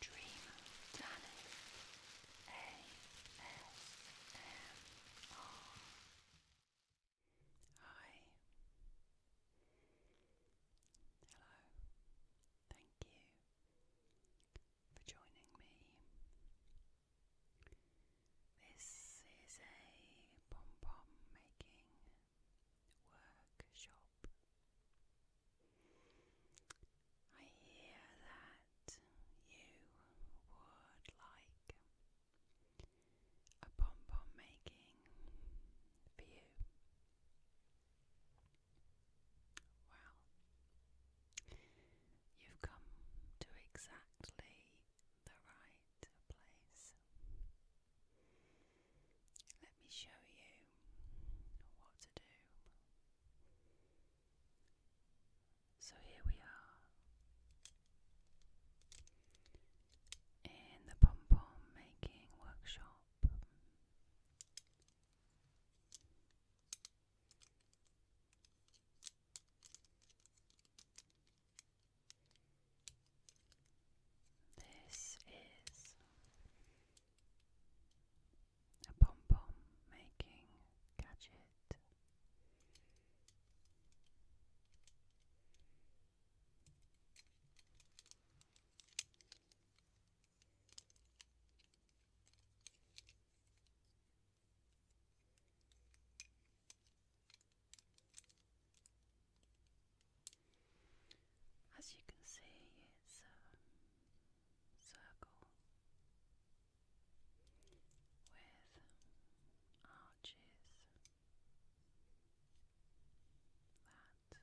Dream Danny ASMR. Hi. Hello. Thank you for joining me. This is a pom pom making workshop. I hear that you would like a pom pom making for you. Well, you've come to exactly the right place. Let me show you what to do so here we are in the pom pom making workshop. This is a pom pom making gadget. As you can see, it's um, circle with arches that open.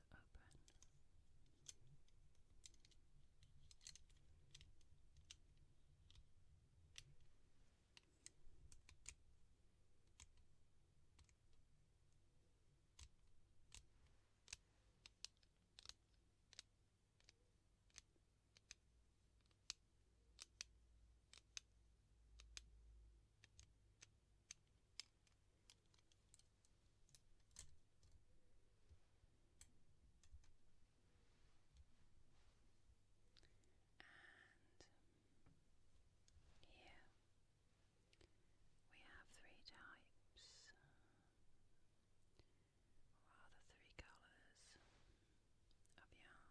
And here we have three types the three colours of yarn?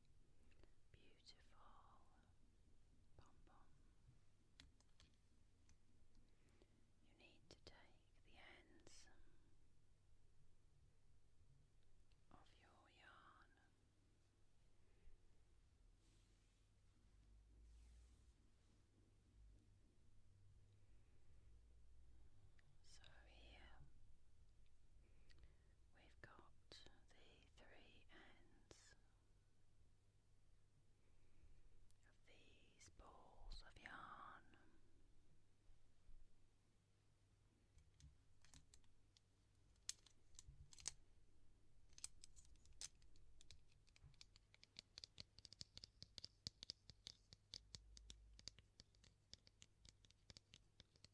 Beautiful pom pom. You need to take the ends of your yarn. So, here we've got the three ends of these balls of yarn.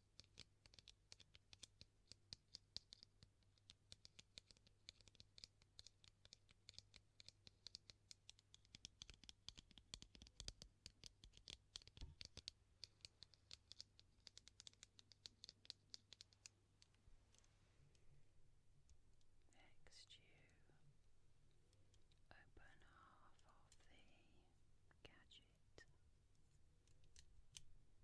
Next, you open half of the gadget Take your yarn and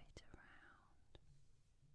wrap it around. The pom pom maker.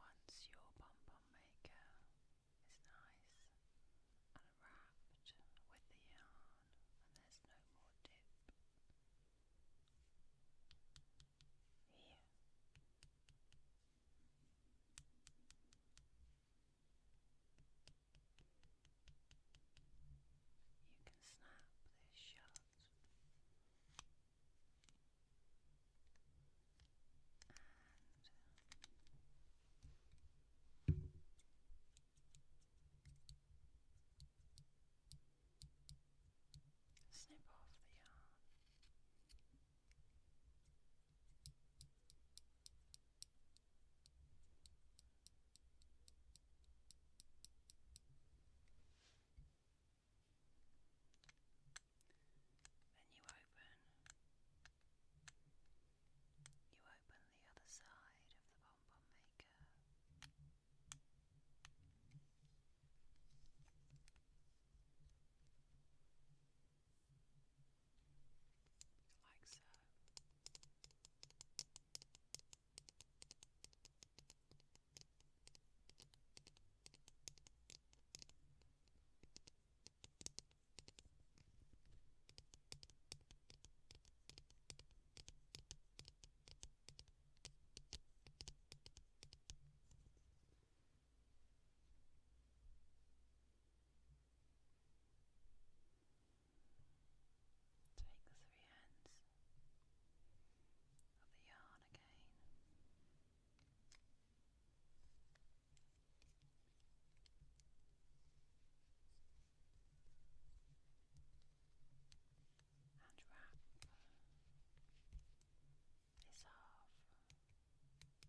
Once your pom pom maker is nice and wrapped with the yarn, and there's no more dip. Here. You can snap this shut and snip off the yarn. Then you open you open the other side of the bonbon maker. Like so. Take the three hands of the yarn again. And wrap this half. In yarn,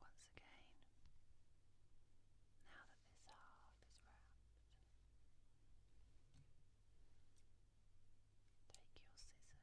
Once again, now that this half is wrapped, take your scissors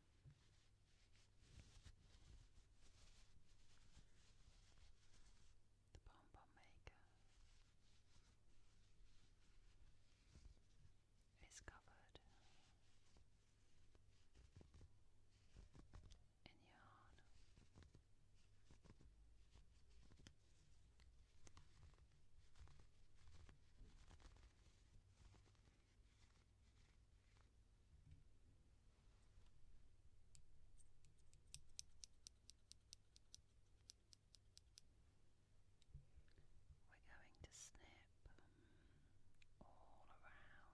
The Bonbon Maker is covered in yarn. We're going to snip all around the yarn.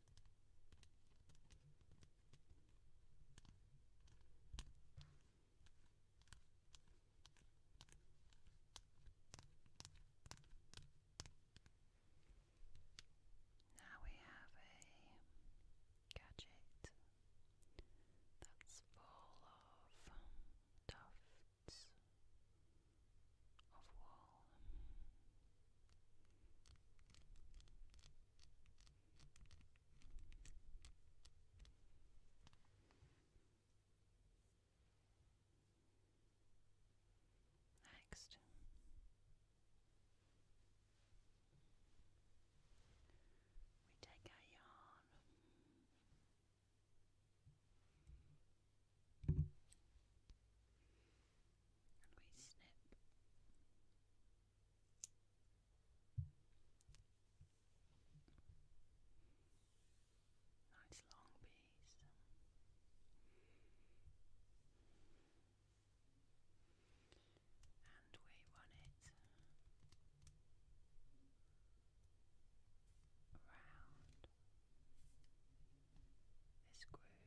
Now we have a gadget that's full of tufts of wool. Next, we take our yarn. And we snip Nice long piece. And we run it around this groove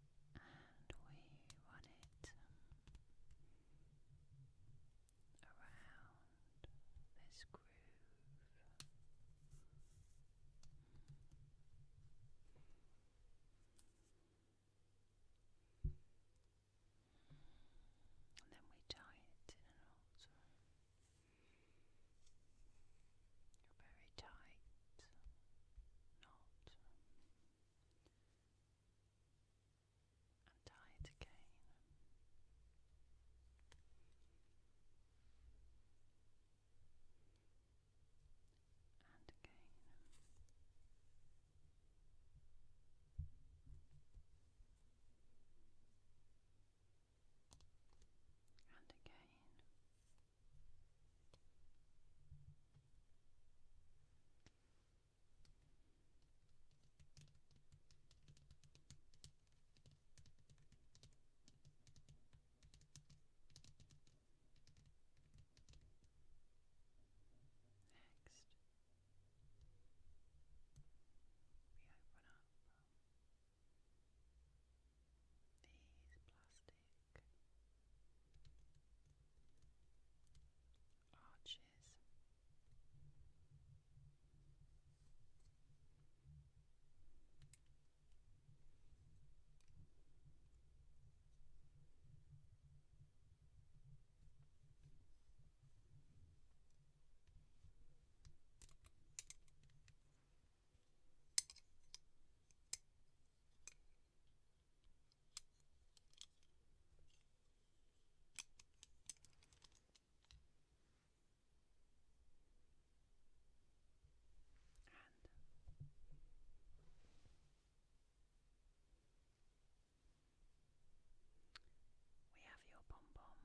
and we run it um, around this groove. And then we tie it in a very tight knot and tie it again. And again. And again. Next, we open up these plastic arches we have your pom pom.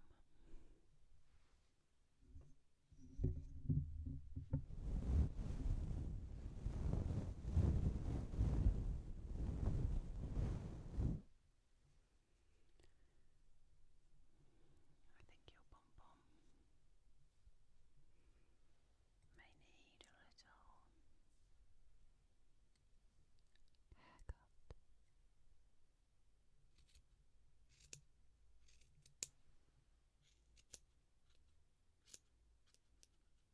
I think your pom pom may need a little haircut. There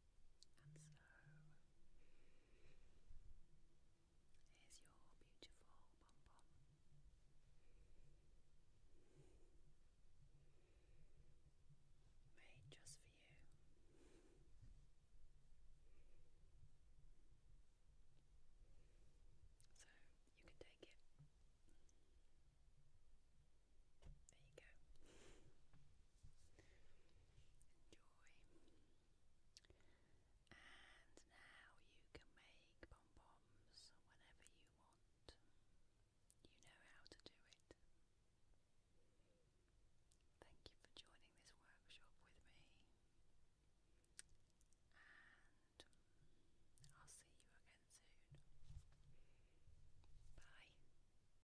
And so, here's your beautiful pom pom. Made just for you. So, you can take it. There you go. Enjoy. And now you can make pom poms whenever you want. You know how to do it. Thank you for joining this workshop with me. And I'll see you again soon. Bye.